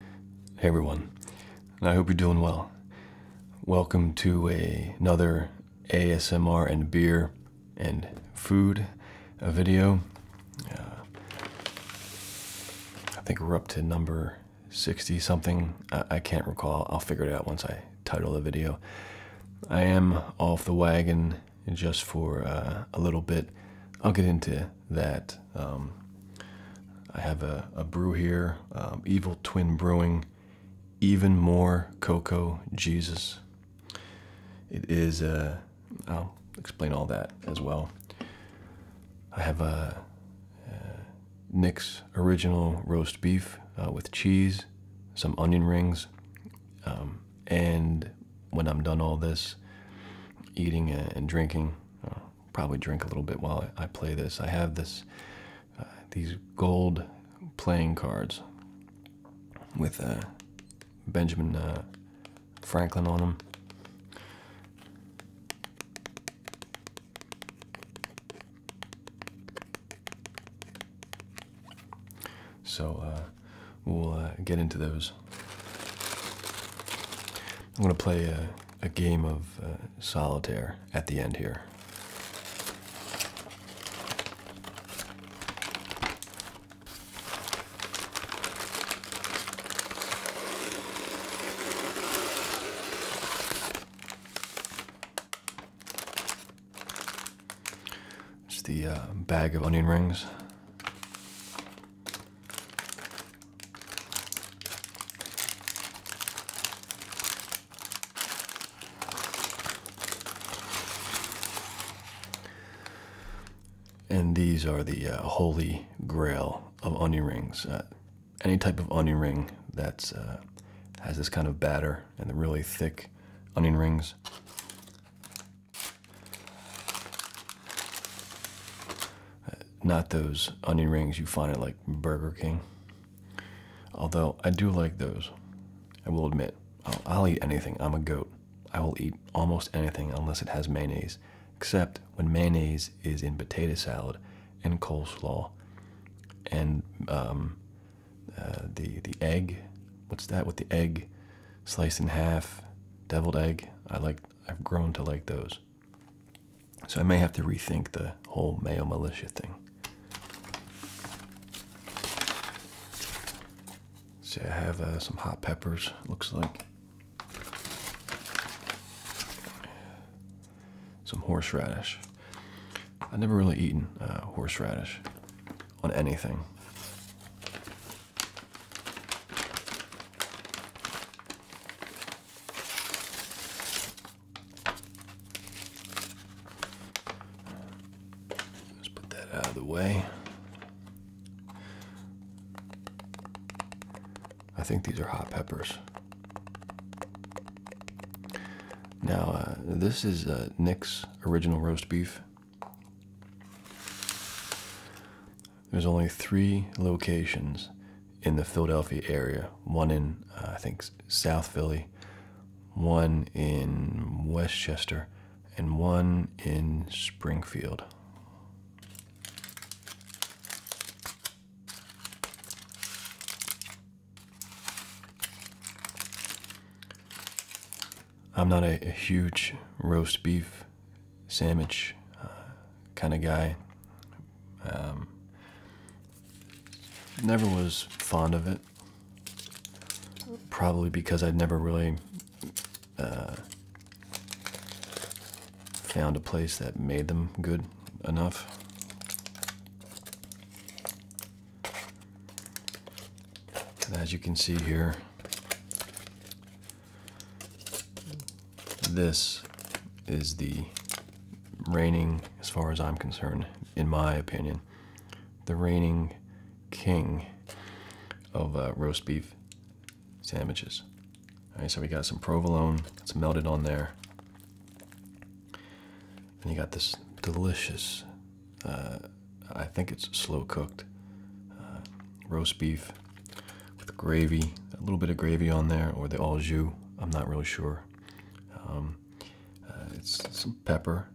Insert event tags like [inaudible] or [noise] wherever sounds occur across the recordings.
Hey everyone, I hope you're doing well. Welcome to another ASMR and beer and food uh, video. Uh, I think we're up to number 60 something. I, can't recall. I'll figure it out once I title the video. I am off the wagon just for uh, a little bit. I'll get into it that um, I have a, brew here, um, Evil Twin Brewing, Even More Cocoa Jesus. It is, uh, I'll explain all that as well. I have a, uh, Nick's Original Roast Beef uh, with cheese, some onion rings, um, and when I'm done all this, eating and drinking, probably drink a little bit while I, play this. I have this uh, these gold playing cards with uh, Benjamin uh, Franklin on them. So we'll get into those. I'm going to play uh, a game of uh, solitaire at the end here. It's the uh, bag of onion rings. And these are the uh, holy grail of onion rings. Uh, any type of onion ring that uh, has this kind of batter and the really thick onion rings not those onion rings you find at like Burger King. Although I do like those, I will admit. I'll, eat anything. I'm a goat. I will eat almost anything unless it has mayonnaise, except when mayonnaise is in potato salad and coleslaw and um, uh, the the egg. What's that with the egg sliced in half, deviled egg? I like. I've grown to like those. So I may have to rethink the whole Mayo Militia thing. See, I have uh, some hot peppers, looks like. Some horseradish. I've never really eaten uh, horseradish on anything. Let's put that out of the way. I think these are hot peppers. Now, uh, this is uh, Nick's original roast beef. There's only three locations in the Philadelphia area one in, uh, I think, South Philly, one in Westchester, and one in Springfield. I'm not a, huge roast beef sandwich uh, kind of guy. Um, never was fond of it. Probably because I'd never really uh, found a place that made them good enough. as you can see here, this is the reigning, as far as I'm concerned, in my opinion, the reigning king of uh, roast beef sandwiches. All right, so we got some provolone that's melted on there. And you got this delicious, uh, I think it's slow cooked, uh, roast beef with gravy, a little bit of gravy on there, or the au jus. I'm not really sure. Um, uh, it's some pepper,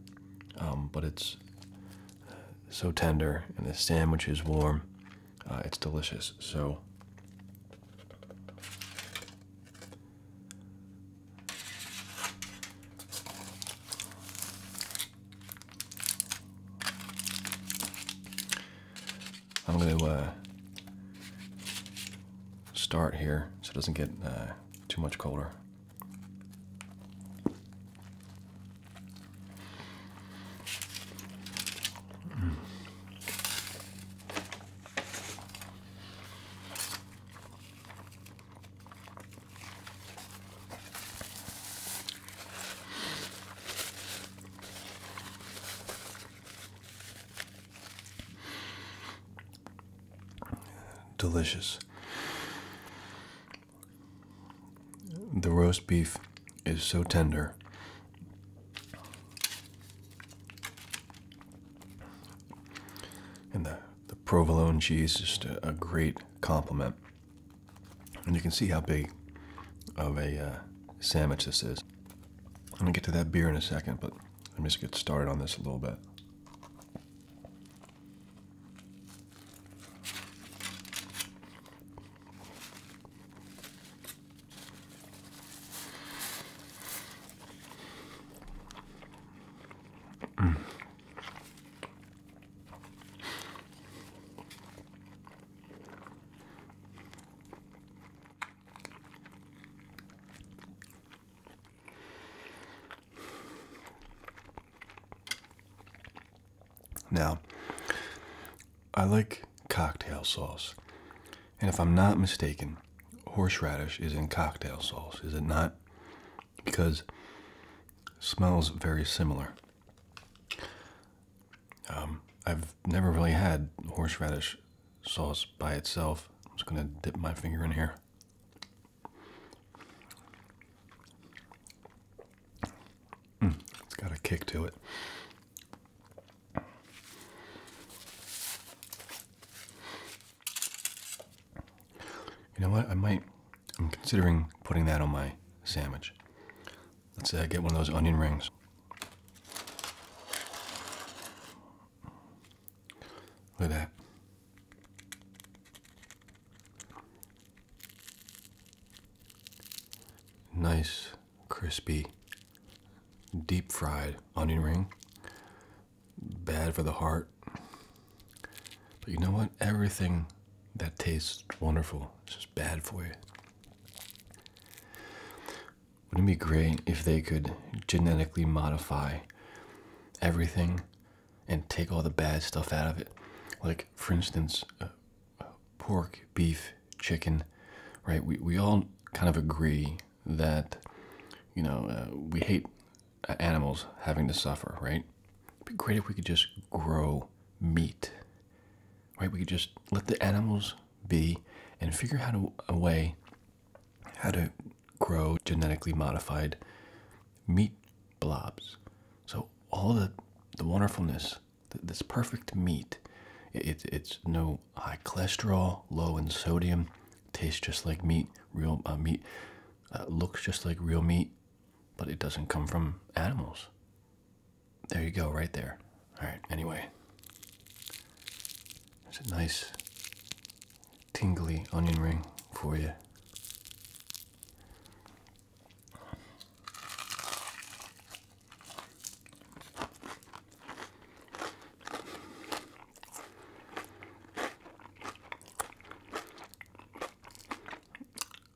um, but it's uh, so tender, and the sandwich is warm. Uh, it's delicious. So. I'm going to uh, start here so it doesn't get uh, too much colder. Delicious. The roast beef is so tender. And the, the provolone cheese is just a, great compliment. And you can see how big of a uh, sandwich this is. I'm gonna get to that beer in a second, but let me just get started on this a little bit. Now, I like cocktail sauce. And if I'm not mistaken, horseradish is in cocktail sauce, is it not? Because it smells very similar. Um, I've never really had horseradish sauce by itself. I'm just gonna dip my finger in here. Mm, it's got a kick to it. You know what? I might. I'm considering putting that on my sandwich. Let's say uh, I get one of those onion rings. Look at that. Nice, crispy, deep fried onion ring. Bad for the heart. But you know what? Everything that tastes wonderful is just bad for you. Wouldn't it be great if they could genetically modify everything and take all the bad stuff out of it? Like, for instance, uh, pork, beef, chicken, right? We, we all kind of agree that, you know, uh, we hate uh, animals having to suffer, right? It'd be great if we could just grow meat, right? We could just let the animals be and figure out a way how to grow genetically modified meat blobs. So all the the wonderfulness, this perfect meat, it, it's no high cholesterol, low in sodium, tastes just like meat, real uh, meat, uh, looks just like real meat, but it doesn't come from animals. There you go, right there. All right, anyway. There's a nice tingly onion ring for you.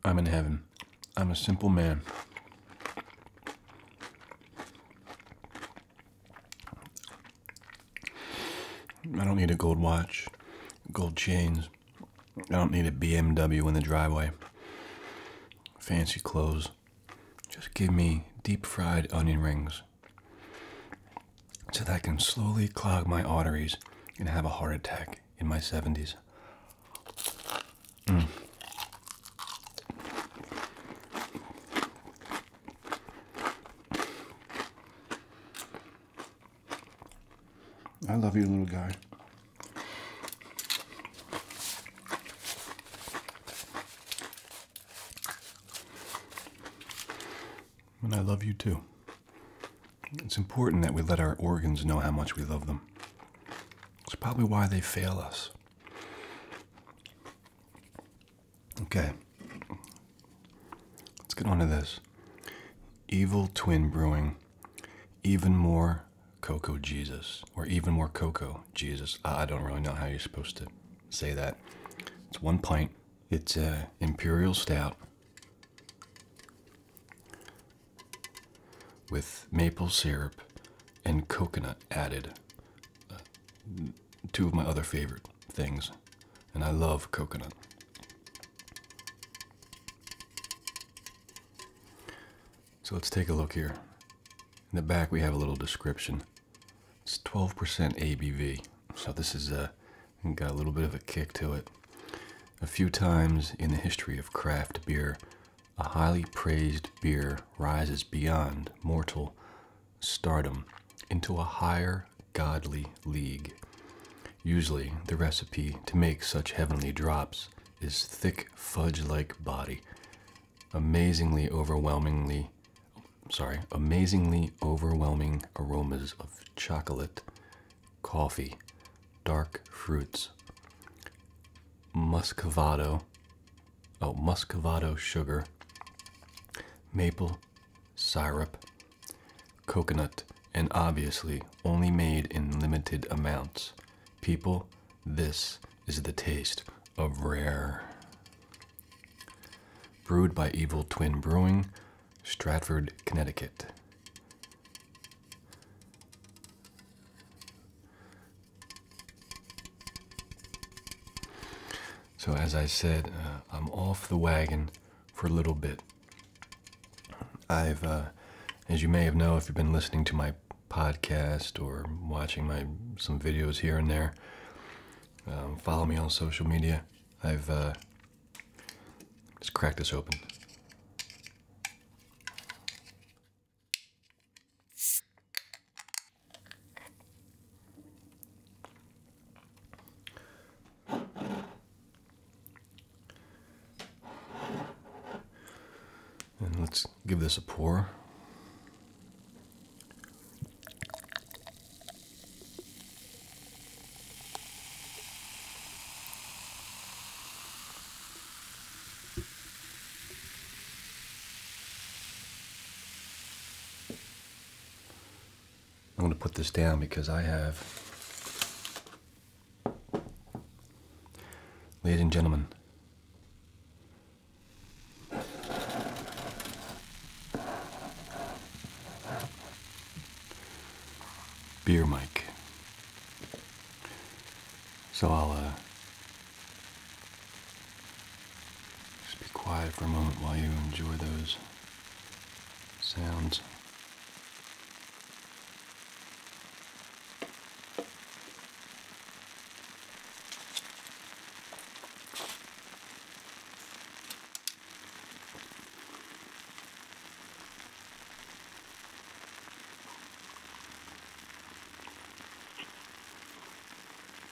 I'm in heaven. I'm a simple man. I don't need a gold watch, gold chains. I don't need a BMW in the driveway. Fancy clothes. Just give me deep fried onion rings so that I can slowly clog my arteries and have a heart attack in my 70s. I love you, little guy. And I love you too. It's important that we let our organs know how much we love them. It's probably why they fail us. Okay. Let's get on to this. Evil Twin Brewing. Even more Cocoa Jesus. Or even more Cocoa Jesus. I don't really know how you're supposed to say that. It's one pint. It's uh, imperial stout with maple syrup and coconut added. Uh, two of my other favorite things, and I love coconut. So let's take a look here. In the back, we have a little description. It's 12% ABV, so this is uh, got a little bit of a kick to it. A few times in the history of craft beer, a highly praised beer rises beyond mortal stardom into a higher godly league. Usually, the recipe to make such heavenly drops is thick fudge like body, amazingly overwhelmingly sorry, amazingly overwhelming aromas of chocolate, coffee, dark fruits, muscovado, oh, muscovado sugar, maple syrup, coconut, and obviously only made in limited amounts. People, this is the taste of rare. Brewed by Evil Twin Brewing, Stratford, Connecticut. So, as I said, uh, I'm off the wagon for a little bit. I've, uh, as you may have known, if you've been listening to my podcast or watching my some videos here and there, um, follow me on social media. I've uh, just cracked this open. And let's give this a pour. I'm going to put this down because I have, ladies and gentlemen, beer mic. So I'll uh, just be quiet for a moment while you enjoy those sounds.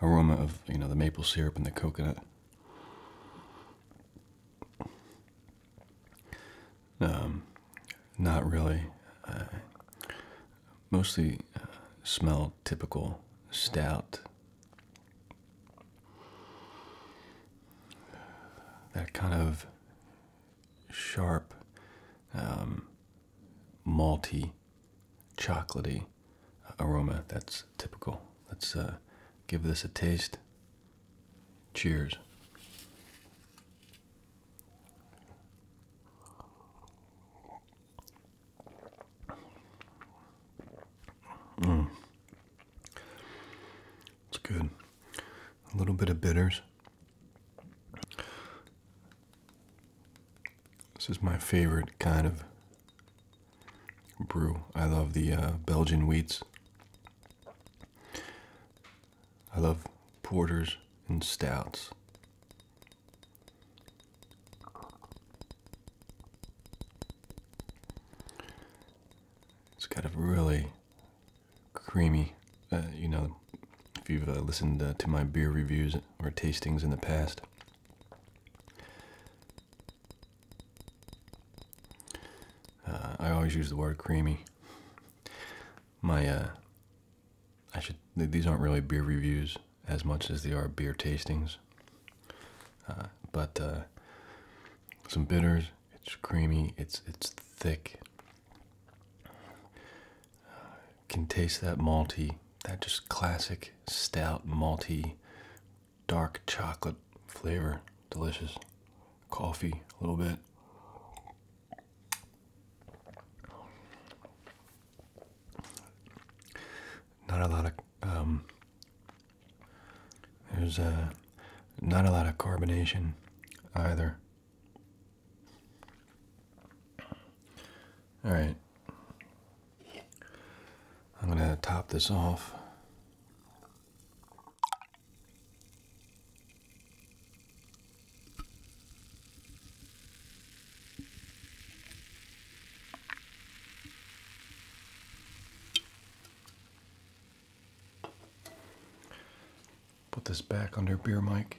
aroma of you know the maple syrup and the coconut. Um, not really. Uh, mostly uh, smell typical stout. That kind of sharp, um, malty chocolatey aroma that's typical. Let's uh, give this a taste. Cheers. Mm. It's good. A little bit of bitters. This is my favorite kind of brew. I love the uh, Belgian wheats. I love porters and stouts. It's got a really creamy, uh, you know, if you've uh, listened to my beer reviews or tastings in the past, uh, I always use the word creamy. My, uh, I should, these aren't really beer reviews as much as they are beer tastings. Uh, but, some bitters, it's creamy, it's, it's thick. can taste that malty, that just classic stout malty dark chocolate flavor. Delicious. Coffee, a little bit. Not a lot of um, there's uh, not a lot of carbonation either. All right, I'm going to top this off. Put this back under beer mic.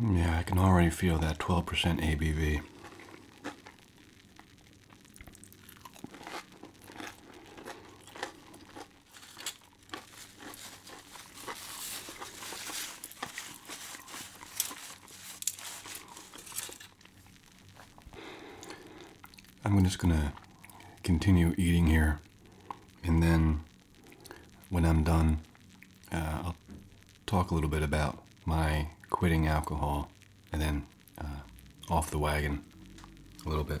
Yeah, I can already feel that 12% ABV. I'm just going to continue eating here, and then when I'm done, uh, I'll talk a little bit about my quitting alcohol and then uh, off the wagon a little bit.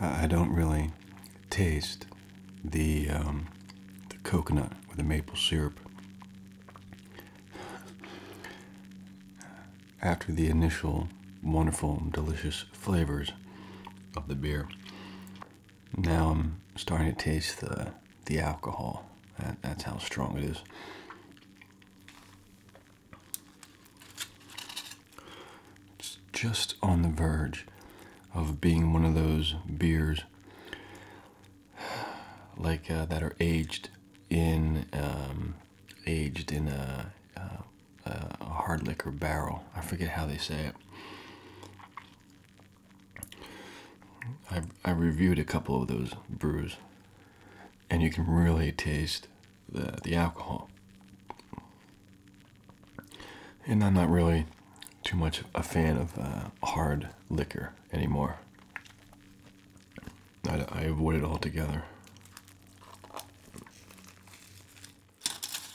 I don't really taste um, the coconut or the maple syrup after the initial wonderful delicious flavors of the beer now I'm starting to taste the the alcohol. that's how strong it is. It's just on the verge of being one of those beers like uh, that are aged in um, aged in uh, a hard liquor barrel. I forget how they say it. I, I reviewed a couple of those brews, and you can really taste the, the alcohol. And I'm not really too much a fan of uh, hard liquor anymore. I avoid it altogether.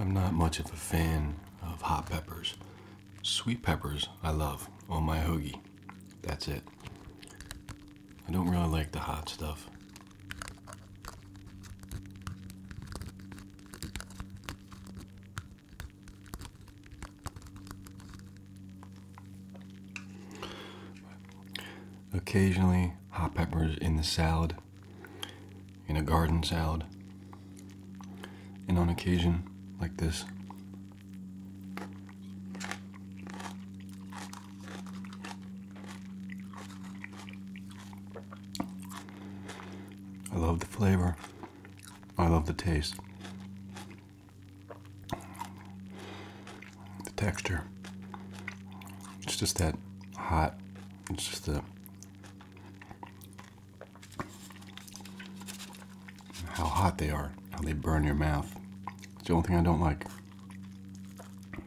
I'm not much of a fan of hot peppers. Sweet peppers I love on oh, my hoagie. That's it. I don't really like the hot stuff. Occasionally, hot peppers in the salad, in a garden salad, and on occasion, like this. I love the flavor. I love the taste. The texture. It's just that hot. It's just the how hot they are, how they burn your mouth. It's the only thing I don't like.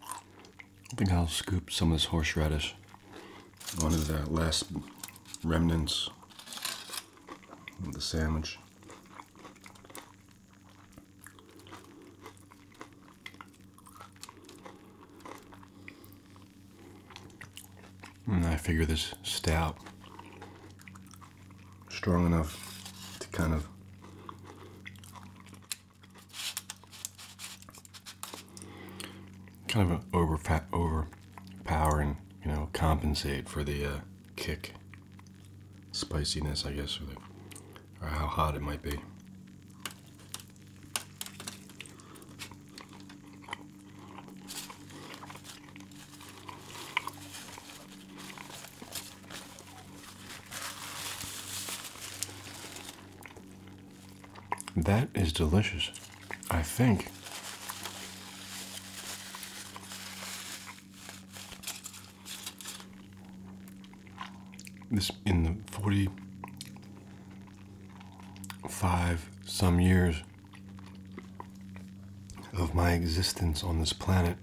I think I'll scoop some of this horseradish onto the last remnants of the sandwich. And I figure this stout strong enough to kind of kind of over overpower and you know compensate for the uh, kick spiciness, I guess, or how hot it might be. That is delicious. I think. This in the 45 some years of my existence on this planet,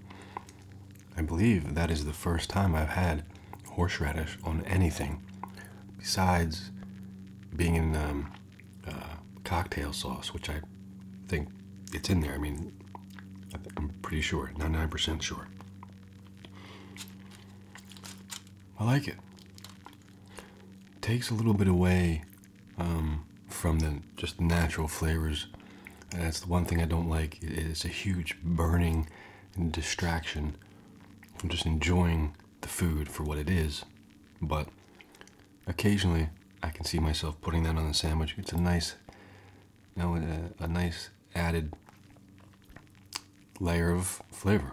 I believe that is the first time I've had horseradish on anything, besides being in um, uh, cocktail sauce, which I think it's in there. I mean, I'm pretty sure, 99% sure. I like it. Takes a little bit away um, from the just natural flavors. And that's the one thing I don't like. It's a huge burning distraction from just enjoying the food for what it is. But occasionally, I can see myself putting that on the sandwich. It's a nice, you know, uh, a nice added layer of flavor.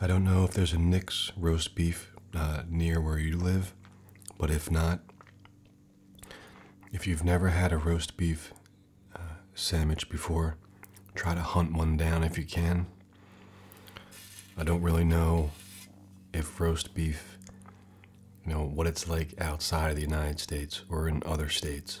I don't know if there's a Nick's roast beef uh, near where you live, but if not, if you've never had a roast beef uh, sandwich before, try to hunt one down if you can. I don't really know if roast beef, you know, what it's like outside of the United States or in other states.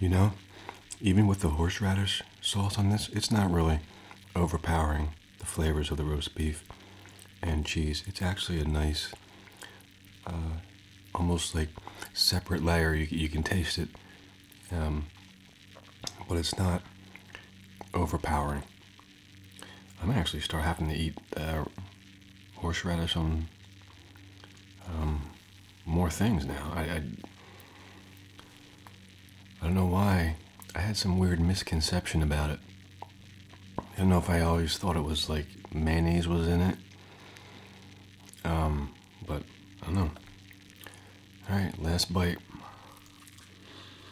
You know, even with the horseradish sauce on this, it's not really overpowering the flavors of the roast beef and cheese. It's actually a nice, uh, almost like separate layer. You, can taste it, um, but it's not overpowering. I'm actually start having to eat uh, horseradish on um, more things now. I, I I don't know why. I had some weird misconception about it. I don't know if I always thought it was like mayonnaise was in it. Um, but I don't know. All right, last bite.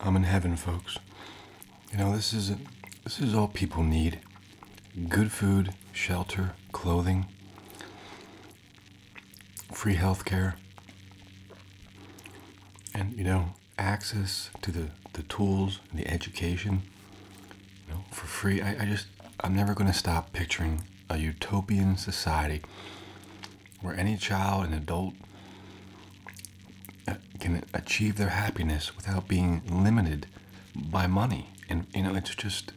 I'm in heaven, folks. You know, this is this is all people need. Good food, shelter, clothing, free health care, and you know, access to the, the tools and the education, you know, for free. I, I just I'm never gonna stop picturing a utopian society where any child an adult uh, can achieve their happiness without being limited by money. And, you know, it's just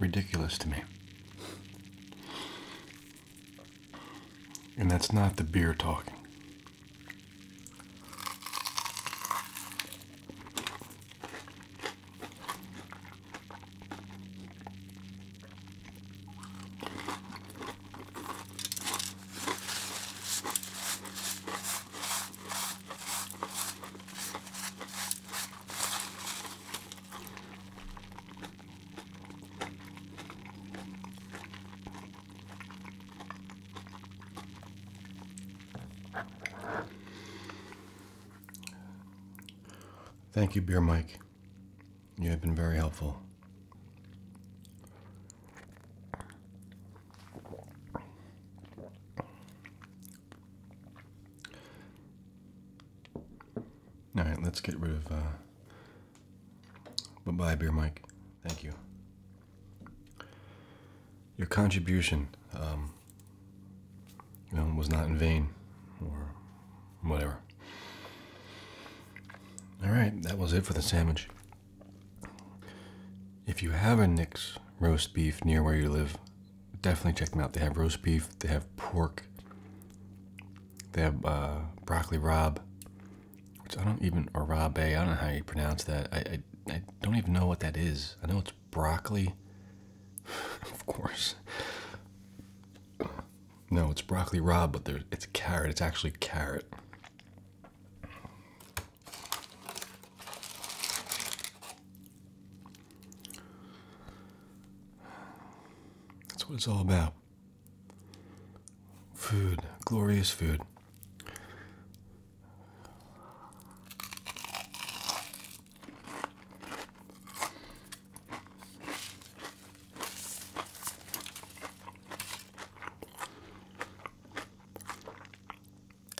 ridiculous to me. And that's not the beer talking. Thank you, Beer Mike. You have been very helpful. All right, let's get rid of. Uh, bye bye, Beer Mike. Thank you. Your contribution um, you know, was not in vain or whatever. All right, that was it for the sandwich. If you have a Nix roast beef near where you live, definitely check them out. They have roast beef, they have pork, they have uh, broccoli rob, which I don't even, or I don't know how you pronounce that. I, I, don't even know what that is. I know it's broccoli, [laughs] of course. No, it's broccoli rob, but it's carrot. It's actually carrot. That's what it's all about. Food, glorious food.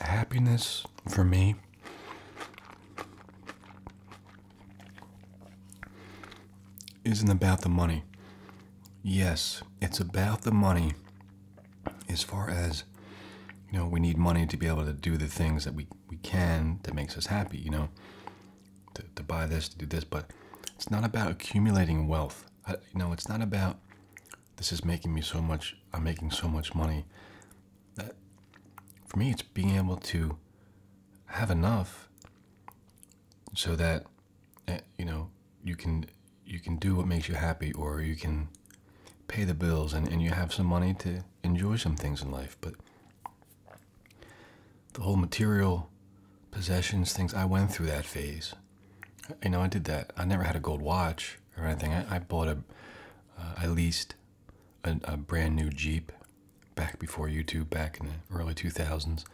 Happiness for me isn't about the money. Yes, it's about the money as far as you know, we need money to be able to do the things that we, we can that makes us happy, you know, to, to buy this, to do this, but it's not about accumulating wealth. I, you know, it's not about this is making me so much. I'm making so much money. That for me, it's being able to have enough so that eh, you know you can you can do what makes you happy, or you can pay the bills, and and you have some money to enjoy some things in life. But the whole material possessions things, I went through that phase. You know, I did that. I never had a gold watch or anything. I, bought a, uh, I leased a brand new Jeep back before YouTube, back in the early 2000s.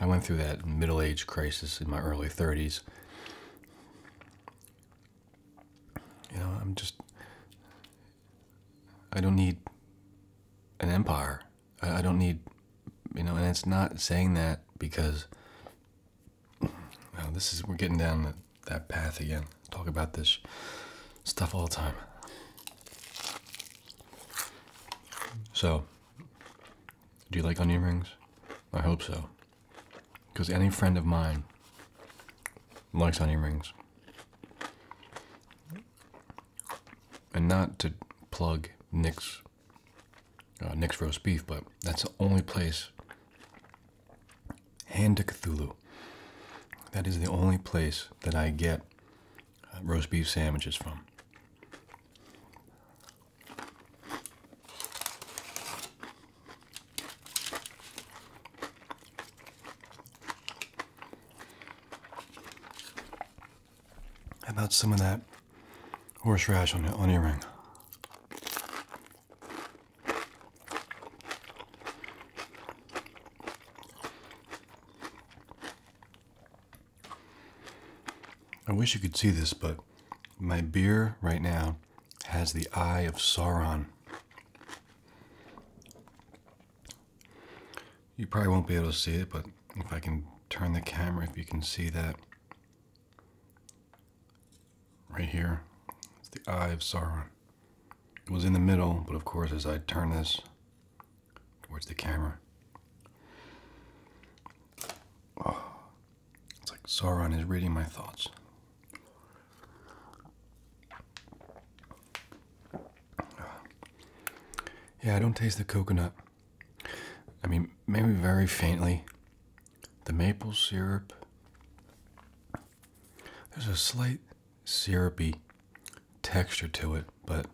I went through that middle age crisis in my early 30s. You know, I'm just, I don't need an empire. I, don't need, you know, and it's not saying that because well, this is, we're getting down that path again. Talk about this stuff all the time. So, do you like onion rings? I hope so. Because any friend of mine likes onion rings. And not to plug Nick's uh, Nick's roast beef, but that's the only place. Hand to Cthulhu. That is the only place that I get uh, roast beef sandwiches from. How about some of that horse rash on your ring? I wish you could see this, but my beer right now has the eye of Sauron. You probably won't be able to see it, but if I can turn the camera, if you can see that. Right here, it's the Eye of Sauron. It was in the middle, but of course, as I turn this towards the camera, it's like Sauron is reading my thoughts. Yeah, I don't taste the coconut. I mean, maybe very faintly. The maple syrup. There's a slight syrupy texture to it, but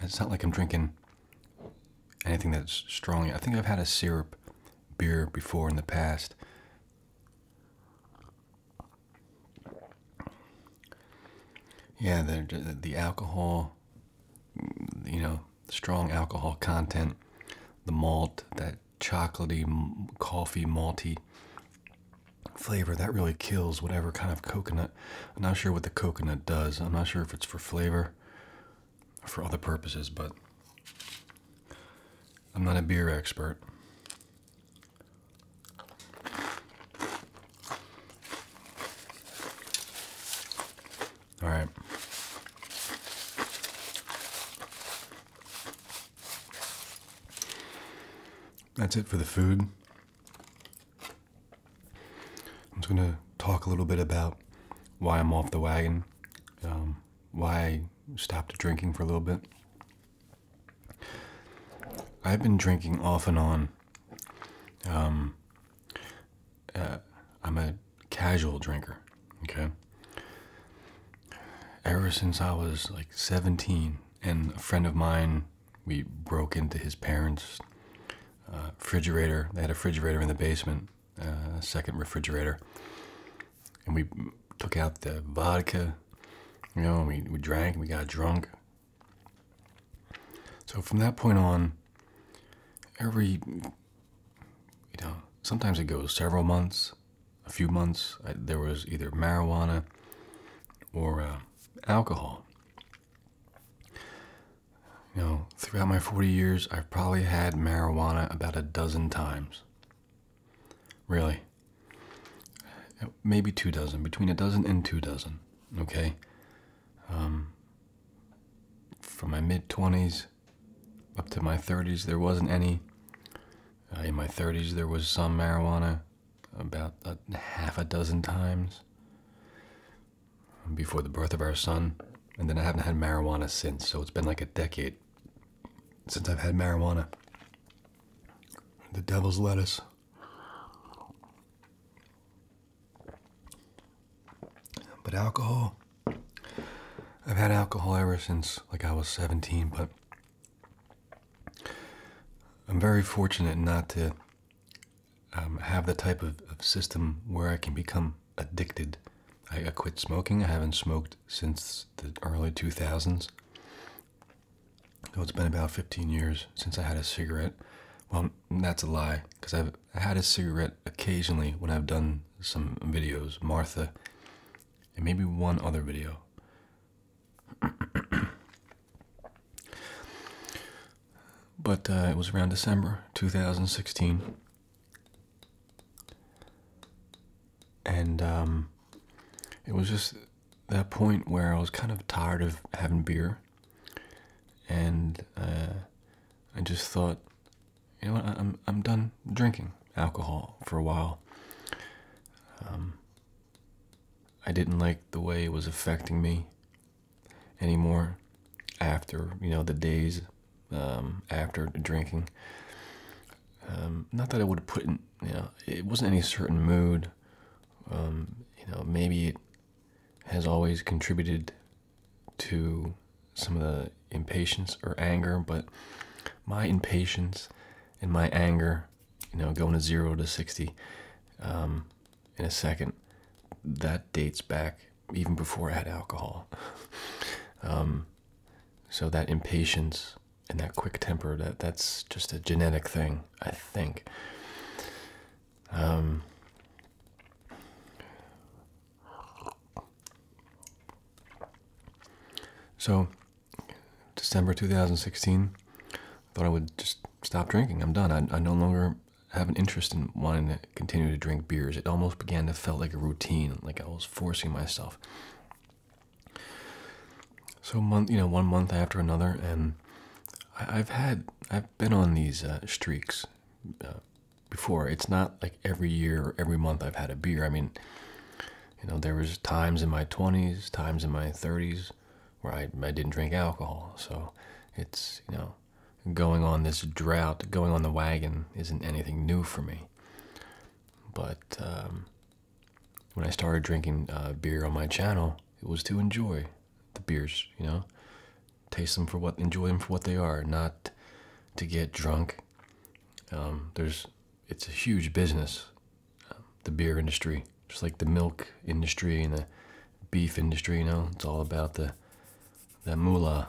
it's not like I'm drinking anything that's strong. I think I've had a syrup beer before in the past. Yeah, the the alcohol, you know, strong alcohol content, the malt, that chocolatey, coffee, malty flavor that really kills whatever kind of coconut. I'm not sure what the coconut does. I'm not sure if it's for flavor for other purposes, but I'm not a beer expert. All right. That's it for the food. I'm just going to talk a little bit about why I'm off the wagon, um, why I stopped drinking for a little bit. I've been drinking off and on um, I'm a casual drinker. Okay. Ever since I was like 17, and a friend of mine, we broke into his parents' uh, refrigerator. They had a refrigerator in the basement, uh, second refrigerator, and we took out the vodka. You know, we we drank, we got drunk. So from that point on, every you know, sometimes it goes several months, a few months. there was either marijuana or uh, alcohol. You know, throughout my 40 years, I've probably had marijuana about a dozen times. Really. Maybe two dozen, between a dozen and two dozen, okay? Um, from my mid 20s up to my 30s, there wasn't any. Uh, in my 30s, there was some marijuana about half a dozen times before the birth of our son. And then I haven't had marijuana since, so it's been like a decade since I've had marijuana. The devil's lettuce. But alcohol, I've had alcohol ever since like I was 17, but I'm very fortunate not to um, have the type of, system where I can become addicted. I quit smoking. I haven't smoked since the early 2000s. So it's been about 15 years since I had a cigarette. Well, that's a lie because I've had a cigarette occasionally when I've done some videos, Martha, and maybe one other video. [coughs] but uh, it was around December 2016. And um, it was just that point where I was kind of tired of having beer. And uh, I just thought, you know what? I'm I'm done drinking alcohol for a while. Um, I didn't like the way it was affecting me anymore after you know the days um, after drinking. Um, not that I would put in, you know, it wasn't any certain mood. Um, you know, maybe it has always contributed to some of the impatience or anger, but my impatience and my anger, you know, going to zero to 60 um, in a second, that dates back even before I had alcohol. Um, so that impatience and that quick temper, that that's just a genetic thing, I think. Um, so, December 2016, I thought I would just stop drinking. I'm done. I, no longer have an interest in wanting to continue to drink beers. It almost began to felt like a routine, like I was forcing myself. So month, you know, one month after another, and I, have had, I've been on these uh, streaks, uh, before. It's not like every year or every month I've had a beer. I mean, you know, there was times in my 20s, times in my 30s where I, I didn't drink alcohol. So it's, you know, going on this drought, going on the wagon isn't anything new for me. But um, when I started drinking uh, beer on my channel, it was to enjoy the beers, you know taste them for what enjoy them for what they are not to get drunk um, there's it's a huge business um, the beer industry just like the milk industry and the beef industry you know it's all about the the mullah.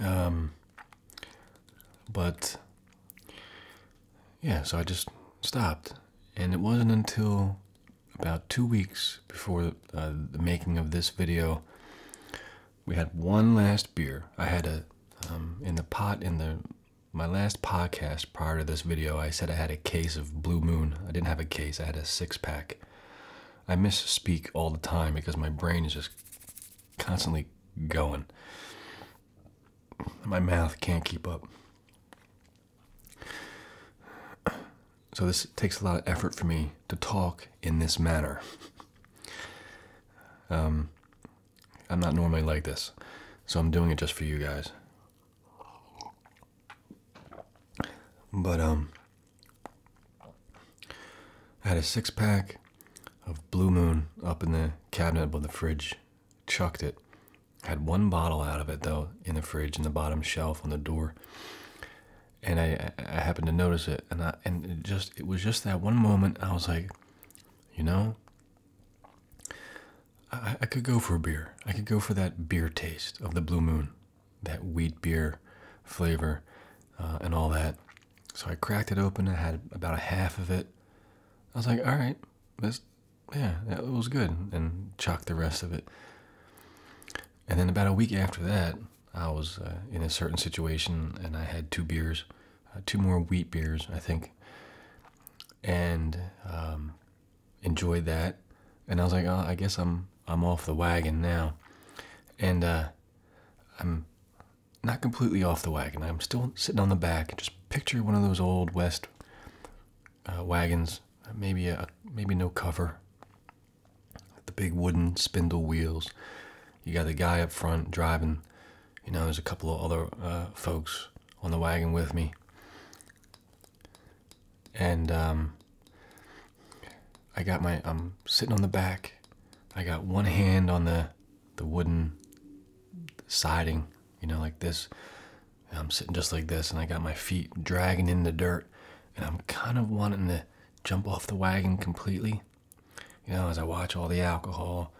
um, but yeah so i just stopped and it wasn't until about two weeks before uh, the, making of this video. We had one last beer. I had a um, in the pot in the my last podcast prior to this video. I said I had a case of Blue Moon. I didn't have a case. I had a six pack. I misspeak all the time because my brain is just constantly going. My mouth can't keep up. So this takes a lot of effort for me to talk in this manner. [laughs] Um, I'm not normally like this, so I'm doing it just for you guys. But um, I had a six pack of Blue Moon up in the cabinet above the fridge, chucked it. had one bottle out of it though in the fridge in the bottom shelf on the door and I, I happened to notice it, and I, and just it was just that one moment I was like, you know, I, I could go for a beer. I could go for that beer taste of the Blue Moon, that wheat beer flavor, uh, and all that. So I cracked it open. I had about a half of it. I was like, all right, this, yeah, that was good, and chalked the rest of it. And then about a week after that, I was uh, in a certain situation and I had two beers, uh, two more wheat beers, I think, and um, enjoyed that. And I was like, oh, I guess I'm I'm off the wagon now, and uh, I'm not completely off the wagon. I'm still sitting on the back. Just picture one of those old west wagons, maybe a maybe no cover, the big wooden spindle wheels. You got the guy up front driving. You know, there's a couple of other uh, folks on the wagon with me. And um, I got my, I'm sitting on the back. I got one hand on the, the wooden siding, you know, like this. I'm sitting just like this, and I got my feet dragging in the dirt, and I'm kind of wanting to jump off the wagon completely. You know, as I watch all the alcohol,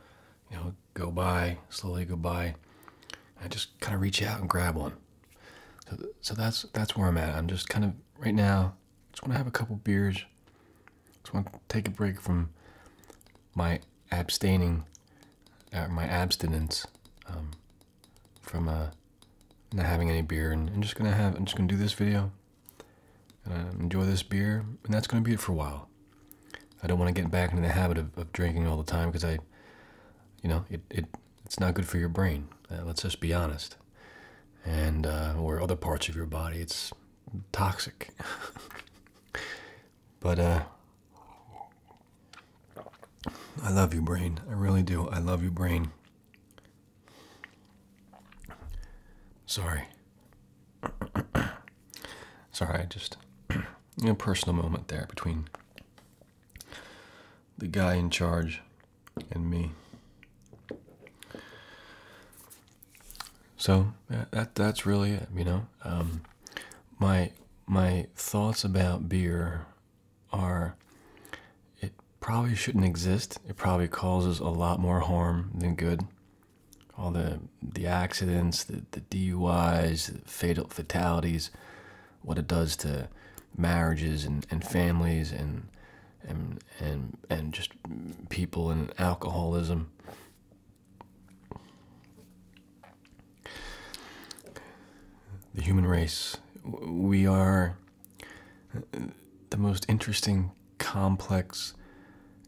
you know, go by, slowly go by, I just kind of reach out and grab one. So, so that's that's where I'm at. I'm just kind of right now. Just want to have a couple beers. Just want to take a break from my abstaining, uh, my abstinence, um, from uh, not having any beer, and I'm just gonna have. I'm just gonna do this video enjoy this beer, and that's going to be it for a while. I don't want to get back into the habit of, drinking all the time because I, you know, it, it it's not good for your brain. Uh, let's just be honest, and uh, or other parts of your body. It's toxic. [laughs] but uh, I love you, brain. I really do. I love you, brain. Sorry. [coughs] Sorry, I just a [clears throat] personal moment there between the guy in charge and me. So that that's really it, you know. Um, my my thoughts about beer are it probably shouldn't exist. It probably causes a lot more harm than good. All the the accidents, the, the DUIs, fatal fatalities, what it does to marriages and, and families and and and and just people and alcoholism. The human race, we are the most interesting complex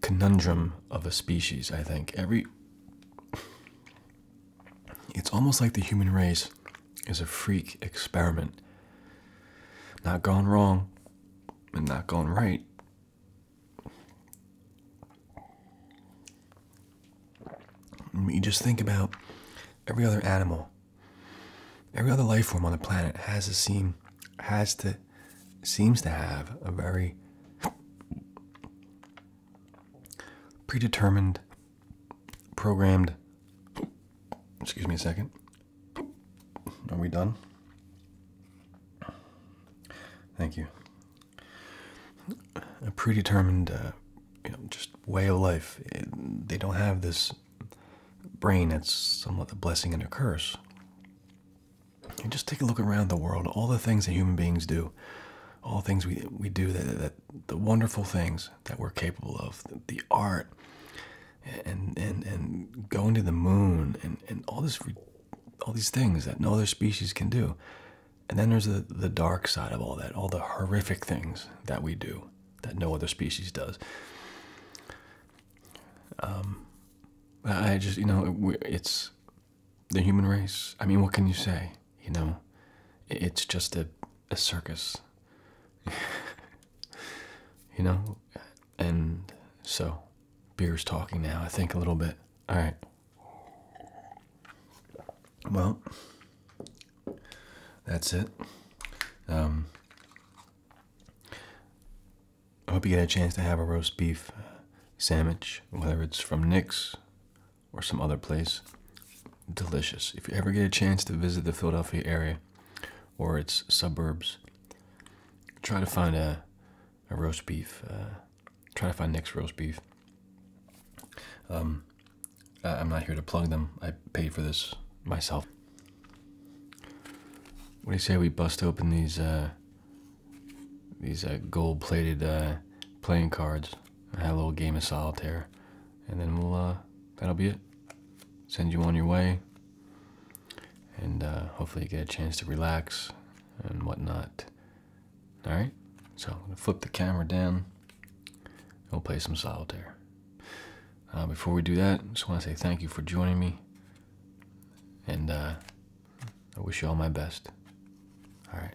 conundrum of a species i think every it's almost like the human race is a freak experiment not gone wrong and not gone right you just think about every other animal Every other life form on the planet has a seem has to seems to have a very predetermined programmed excuse me a second. Are we done? Thank you. A predetermined, uh, you know, just way of life. they don't have this brain, it's somewhat a blessing and a curse. And just take a look around the world, all the things that human beings do, all the things we, we do, that, the wonderful things that we're capable of, the, the art, and, and, and going to the moon, and, and all, this, all these things that no other species can do. And then there's the, the dark side of all that, all the horrific things that we do that no other species does. Um, I just, you know, it's the human race. I mean, what can you say? You know, it's just a, a circus. [laughs] you know, and so beer's talking now, I think, a little bit. All right. Well, that's it. Um, I hope you get a chance to have a roast beef sandwich, whether it's from Nick's or some other place. Delicious. If you ever get a chance to visit the Philadelphia area or its suburbs, try to find a, a roast beef. Uh, try to find Nick's roast beef. Um, I'm not here to plug them. I paid for this myself. What do you say we bust open these uh, these uh, gold-plated uh, playing cards? I had a little game of solitaire, and then we'll that'll be it. Send you on your way, and hopefully you get a chance to relax and whatnot. All right, so I'm gonna flip the camera down. And we'll play some solitaire. before we do that, just want to say thank you for joining me. And uh, I wish you all my best. All right.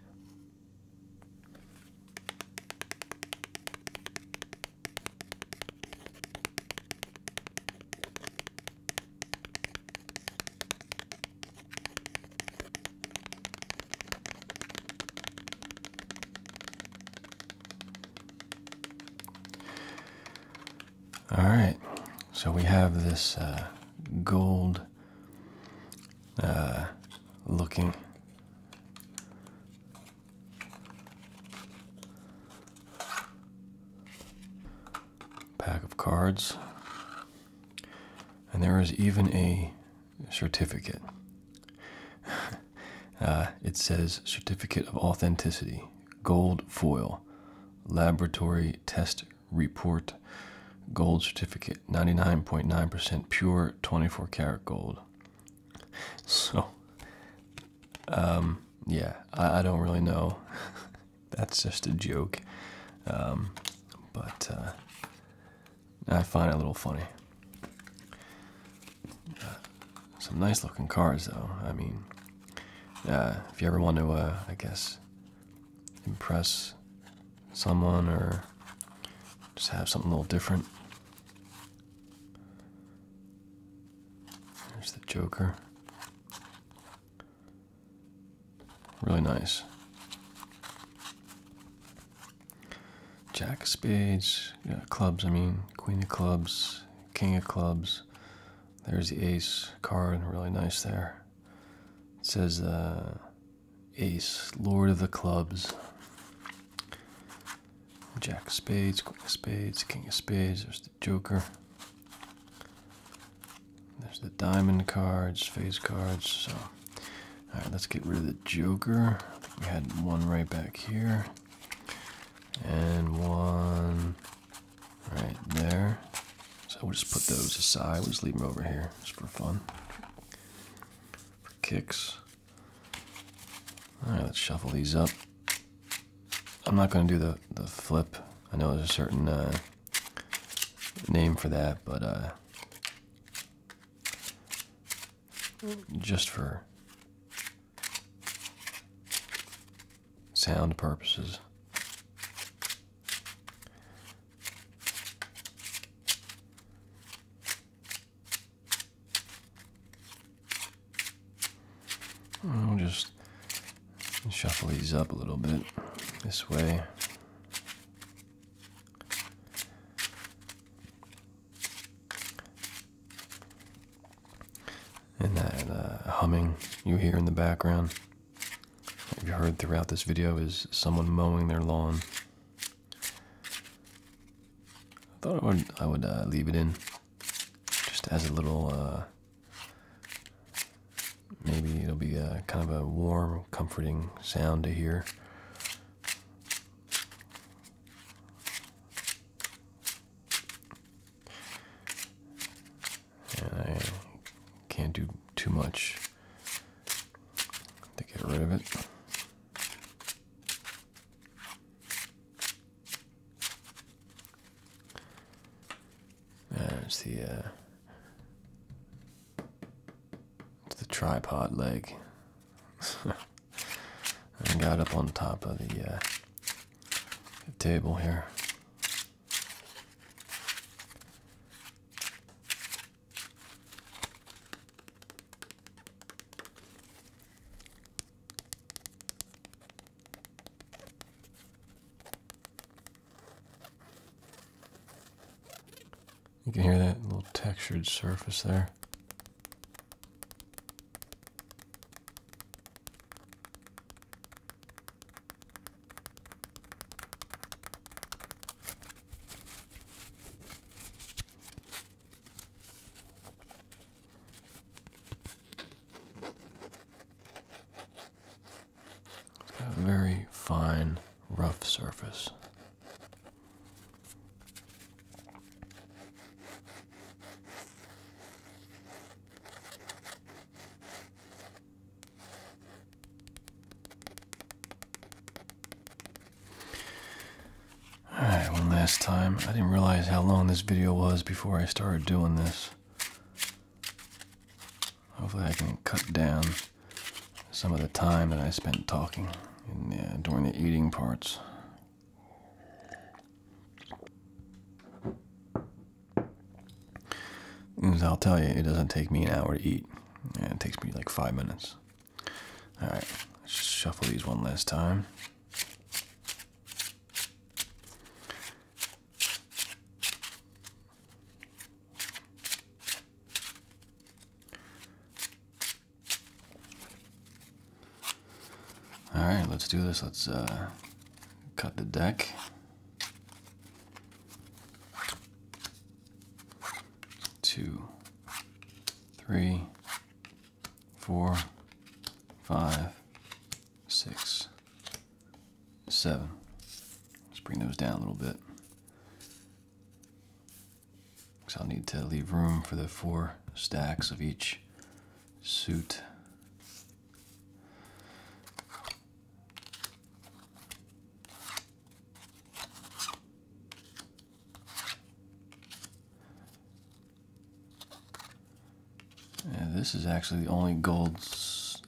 All right, so we have this uh, gold uh, looking pack of cards, and there is even a certificate. [laughs] Uh, it says Certificate of Authenticity gold foil, laboratory test report, gold certificate, 99.9% percent pure 24 karat gold. So, um, yeah, I, don't really know. [laughs] That's just a joke. Um, but uh, I find it a little funny. Uh, some nice looking cars, though. I mean, uh, if you ever want to, uh, I guess, impress someone or just have something a little different. There's the Joker. Really nice. Jack of Spades, clubs, I mean, Queen of Clubs, King of Clubs, there's the ace card, really nice there. It says uh, ace, lord of the clubs. Jack of spades, queen of spades, king of spades. There's the joker. There's the diamond cards, face cards. So, all right, let's get rid of the joker. we had one right back here, and one right there. So we'll just put those aside. We'll just leave them over here just for fun. For kicks. Alright, let's shuffle these up. I'm not going to do the, the flip. I know there's a certain uh, name for that, but uh, just for sound purposes. I'll just shuffle these up a little bit this way and that uh, humming you hear in the background what you heard throughout this video is someone mowing their lawn i thought i would, uh, leave it in just as a little uh, maybe it'll be kind of a warm comforting sound to hear I can't do too much to get rid of it. Uh, There's the uh, it's the tripod leg. [laughs] I got up on top of the uh, table here. You can hear that little textured surface there. It's got A very fine, rough surface. Alright, one last time. I didn't realize how long this video was before I started doing this. Hopefully I can cut down some of the time that I spent talking during the eating parts. I'll tell you, it doesn't take me an hour to eat. It takes me like five minutes. Alright, let's shuffle these one last time. All right, let's do this. Let's uh, cut the deck two, three, four, five, six, seven. Let's bring those down a little bit. Because I'll need to leave room for the four stacks of each suit this is actually the only gold,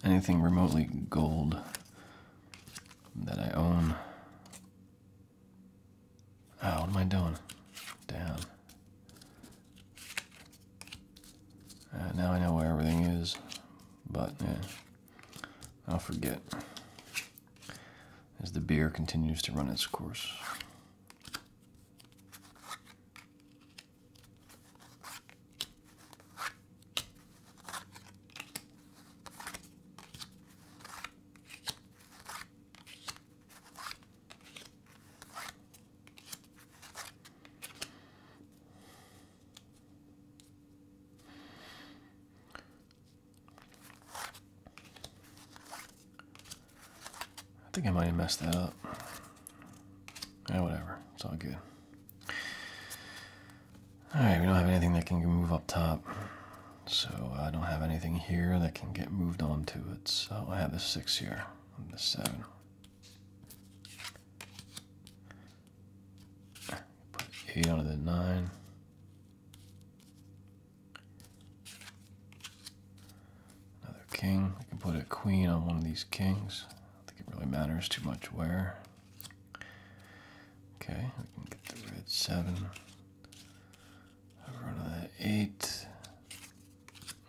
anything remotely gold that I own. Oh, what am I doing? Down. Uh, now I know where everything is, but I'll forget as the beer continues to run its course. I think I might have messed that up. Yeah, whatever. It's all good. Alright, we don't have anything that can move up top. So I don't have anything here that can get moved on to it. So I have the six here and the seven. Put 8 onto the 9. Another king. I can put a queen on one of these kings. I think it really matters too much where. Okay, we can get the red 7. Over onto that 8.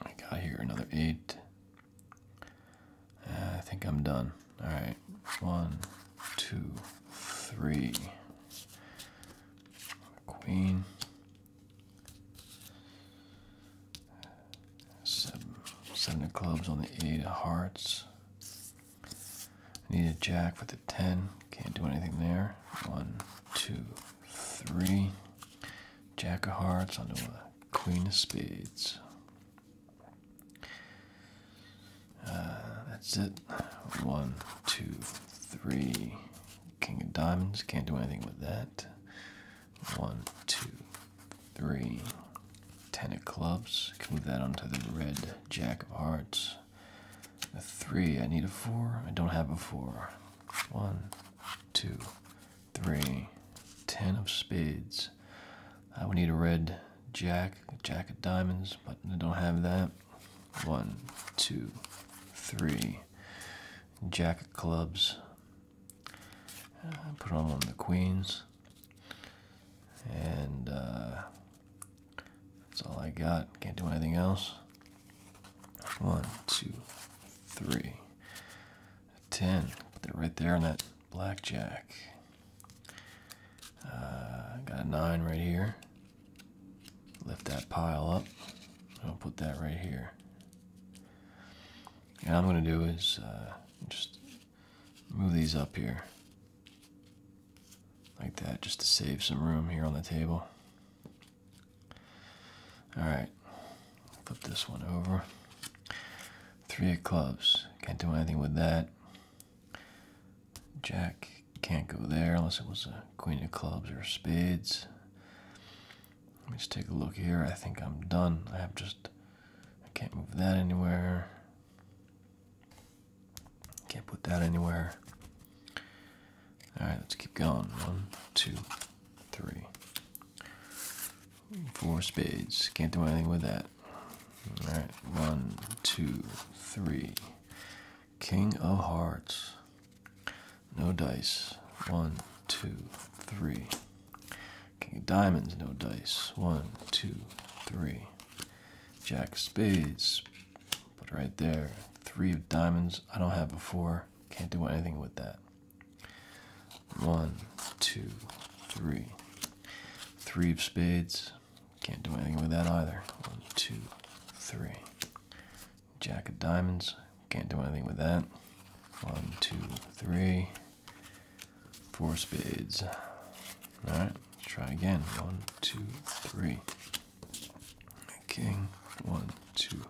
I got here another 8. Uh, I think I'm done. All right, one, two, three. Queen. Seven, of clubs on the eight of hearts. need a jack with a ten. Can't do anything there. One, two, three. Jack of hearts on the queen of spades. Uh, that's it. One, two, three. King of diamonds. Can't do anything with that. One, two, three. Ten of clubs. Can move that onto the red jack of hearts. A three. I need a four. I don't have a four. One, two, three, ten of spades. I uh, would need a red jack, jack of diamonds, but I don't have that. One, two, three, jack of clubs. Uh, put on one of the queens. And uh, that's all I got. Can't do anything else. One, two, three, ten. Put it right there in that blackjack. Uh, got a nine right here. Lift that pile up. I'll put that right here. And I'm going to do is uh, just move these up here like that just to save some room here on the table. All right, flip this one over. Three of clubs. Can't do anything with that. Jack can't go there unless it was a queen of clubs or spades. Let me just take a look here. I think I'm done. I have just... I can't move that anywhere. Can't put that anywhere. Alright, let's keep going. One, two, three. Four spades. Can't do anything with that. Alright, one, two, three. King of hearts. No dice. One, two, three. King of diamonds, no dice. One, two, three. Jack spades. Put right there. Three of diamonds. I don't have before. can Can't do anything with that. One, two, three. Three of spades. Can't do anything with that either. One, two, three. Jack of diamonds. Can't do anything with that. One, two, three. Four spades. Alright, try again. One, two, three. King. One, two,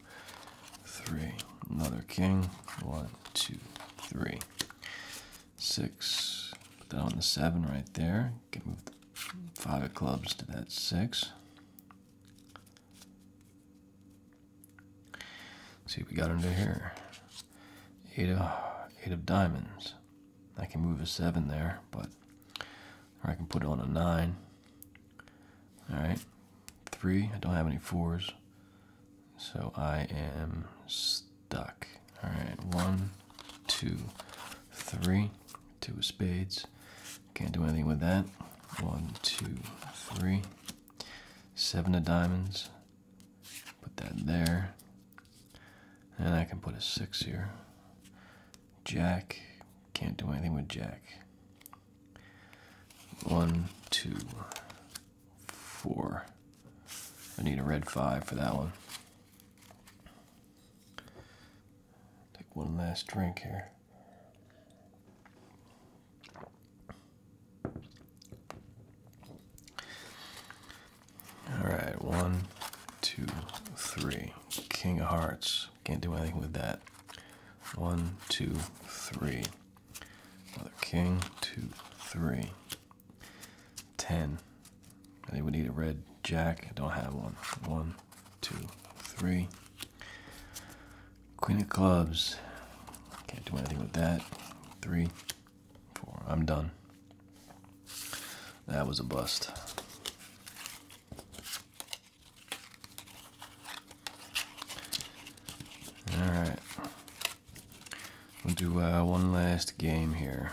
three. Another king. One, two, three six. Put that on the seven right there. Can move the five of clubs to that 6 see what we got under here. Eight of eight of diamonds. I can move a seven there, but or I can put it on a nine. All right, three. I don't have any fours. So I am stuck. All right, one, two, three, two of spades. Can't do anything with that. One, two, three, seven of diamonds. Put that there. And I can put a six here. Jack. Can't do anything with Jack. One, two, four. I need a red five for that one. Take one last drink here. All right, one, two, three. King of Hearts. Can't do anything with that. One, two, three. Another king, two, three. 10. I think we need a red jack. I don't have one. One, two, three. Queen of clubs. Can't do anything with that. Three, four. I'm done. That was a bust. All right. We'll do uh, one last game here.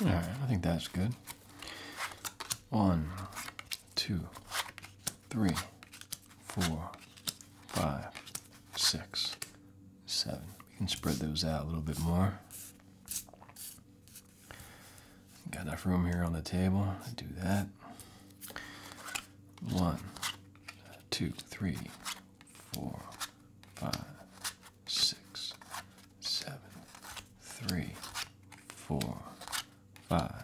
All right, I think that's good. One, two, three, four, five, six, seven. We can spread those out a little bit more. Got enough room here on the table do that. One, two, three, four, five, six, seven, three, four, five,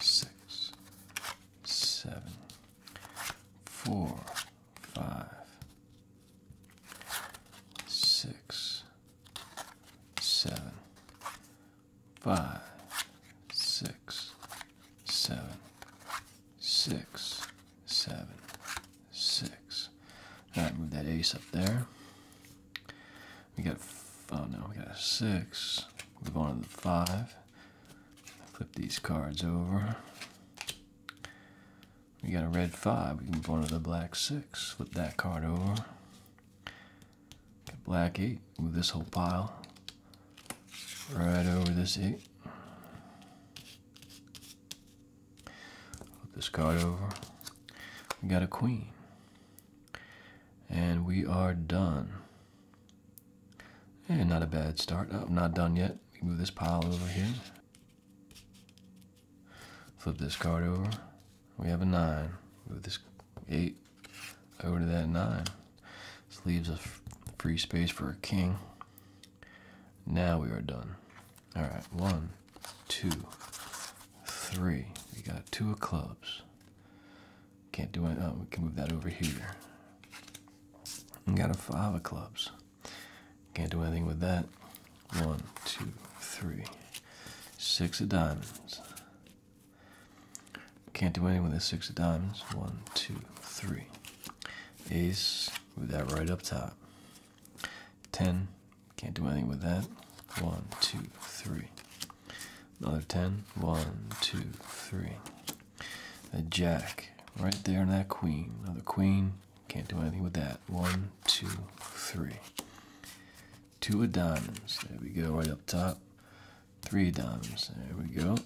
six, seven, four, five, six, seven, five, six, seven, six, seven, six. All right, move that ace up there. We got, oh no, we got a six. Move on to the five. Flip these cards over. We got a red five. We can go to the black six. Flip that card over. Got black eight. Move this whole pile right over this eight. Flip this card over. We got a queen. And we are done. And not a bad start. I'm oh, not done yet. We move this pile over here. Flip this card over. We have a nine. Move this eight over to that nine. This leaves a free space for a king. Now we are done. All right, one, two, three. We got two of clubs. Can't do it. Oh, we can move that over here. We got a five of clubs. Can't do anything with that. One, two, three. Six of diamonds. Can't do anything with the six of diamonds. One, two, three. Ace, move that right up top. Ten, can't do anything with that. One, two, three. Another ten. One, two, three. A jack, right there And that queen. Another queen. Can't do anything with that. One, two, three. Two of diamonds. There we go, right up top. Three diamonds. There we go.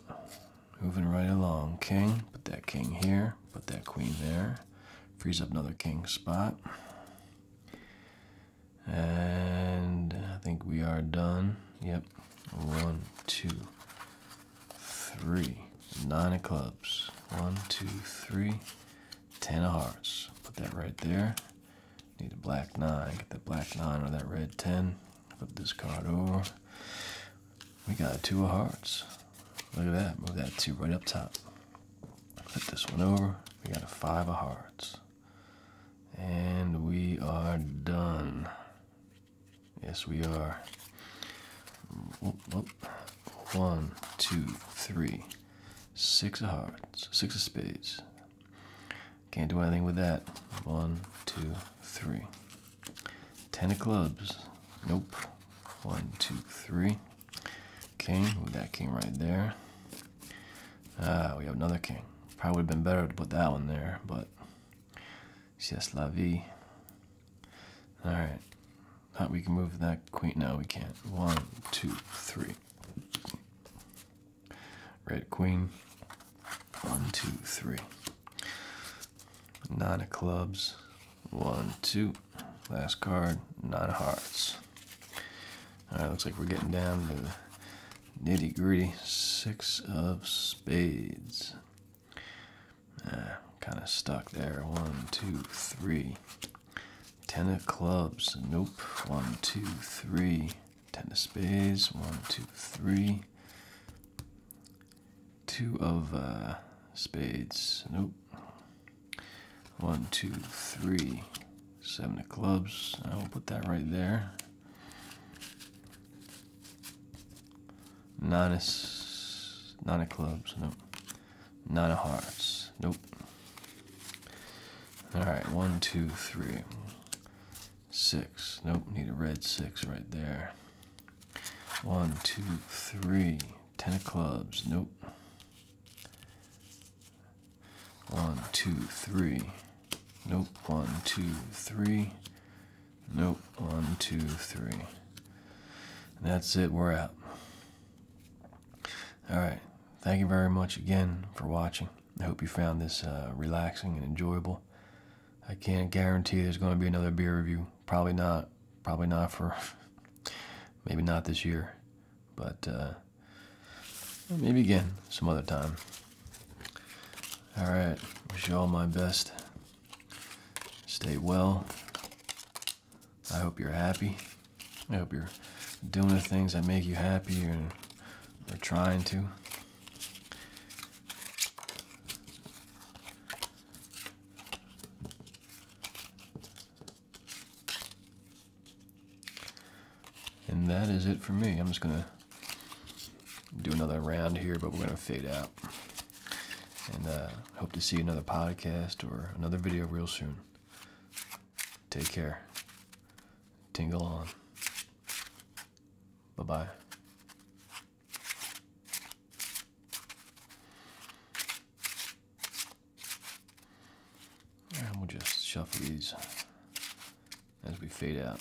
Moving right along. King. Put that king here. Put that queen there. Frees up another king spot. And I think we are done. Yep. One, two, three, nine of clubs. One, two, three, ten of hearts. Put that right there. Need a black nine. Get that black nine or that red ten. Flip this card over. We got two of hearts. Look at that. Move that two right up top. Flip this one over. We got a five of hearts. And we are done. Yes, we are. One, two, three, six of hearts. Six of spades. Can't do anything with that. One, two, three, ten of clubs. Nope. One, two, three. King. that came right there. Ah, we have another king. Probably would have been better to put that one there, but. C'est la vie. All right. Thought we can move that queen. Now we can't. One, two, three. Red queen. One, two, three. Nine of clubs. One, two. Last card. Nine of hearts. All right, looks like we're getting down to nitty gritty. Six of spades. Uh, kind of stuck there. One, two, three. Ten of clubs. Nope. One, two, three. Ten of spades. One, two, three. Two of uh, spades. Nope. One, two, three. Seven of clubs. I'll put that right there. Nine of, nine of clubs. Nope. Nine of hearts. Nope. Alright, one, two, three, six. Nope, need a red six right there. One, two, three. Ten of clubs. Nope. One, two, three. Nope. One, two, three. Nope. One, two, three. that's it. We're out. All right. Thank you very much again for watching. I hope you found this uh, relaxing and enjoyable. I can't guarantee there's going to be another beer review. Probably not. Probably not for. [laughs] maybe not this year. But uh, maybe again some other time. All right. Wish you all my best. Stay well. I hope you're happy. I hope you're doing the things that make you happy and or, or trying to. And that is it for me. I'm just gonna do another round here, but we're gonna fade out. And uh, hope to see another podcast or another video real soon. Take care. Tingle on. Bye bye. And we'll just shuffle these as we fade out.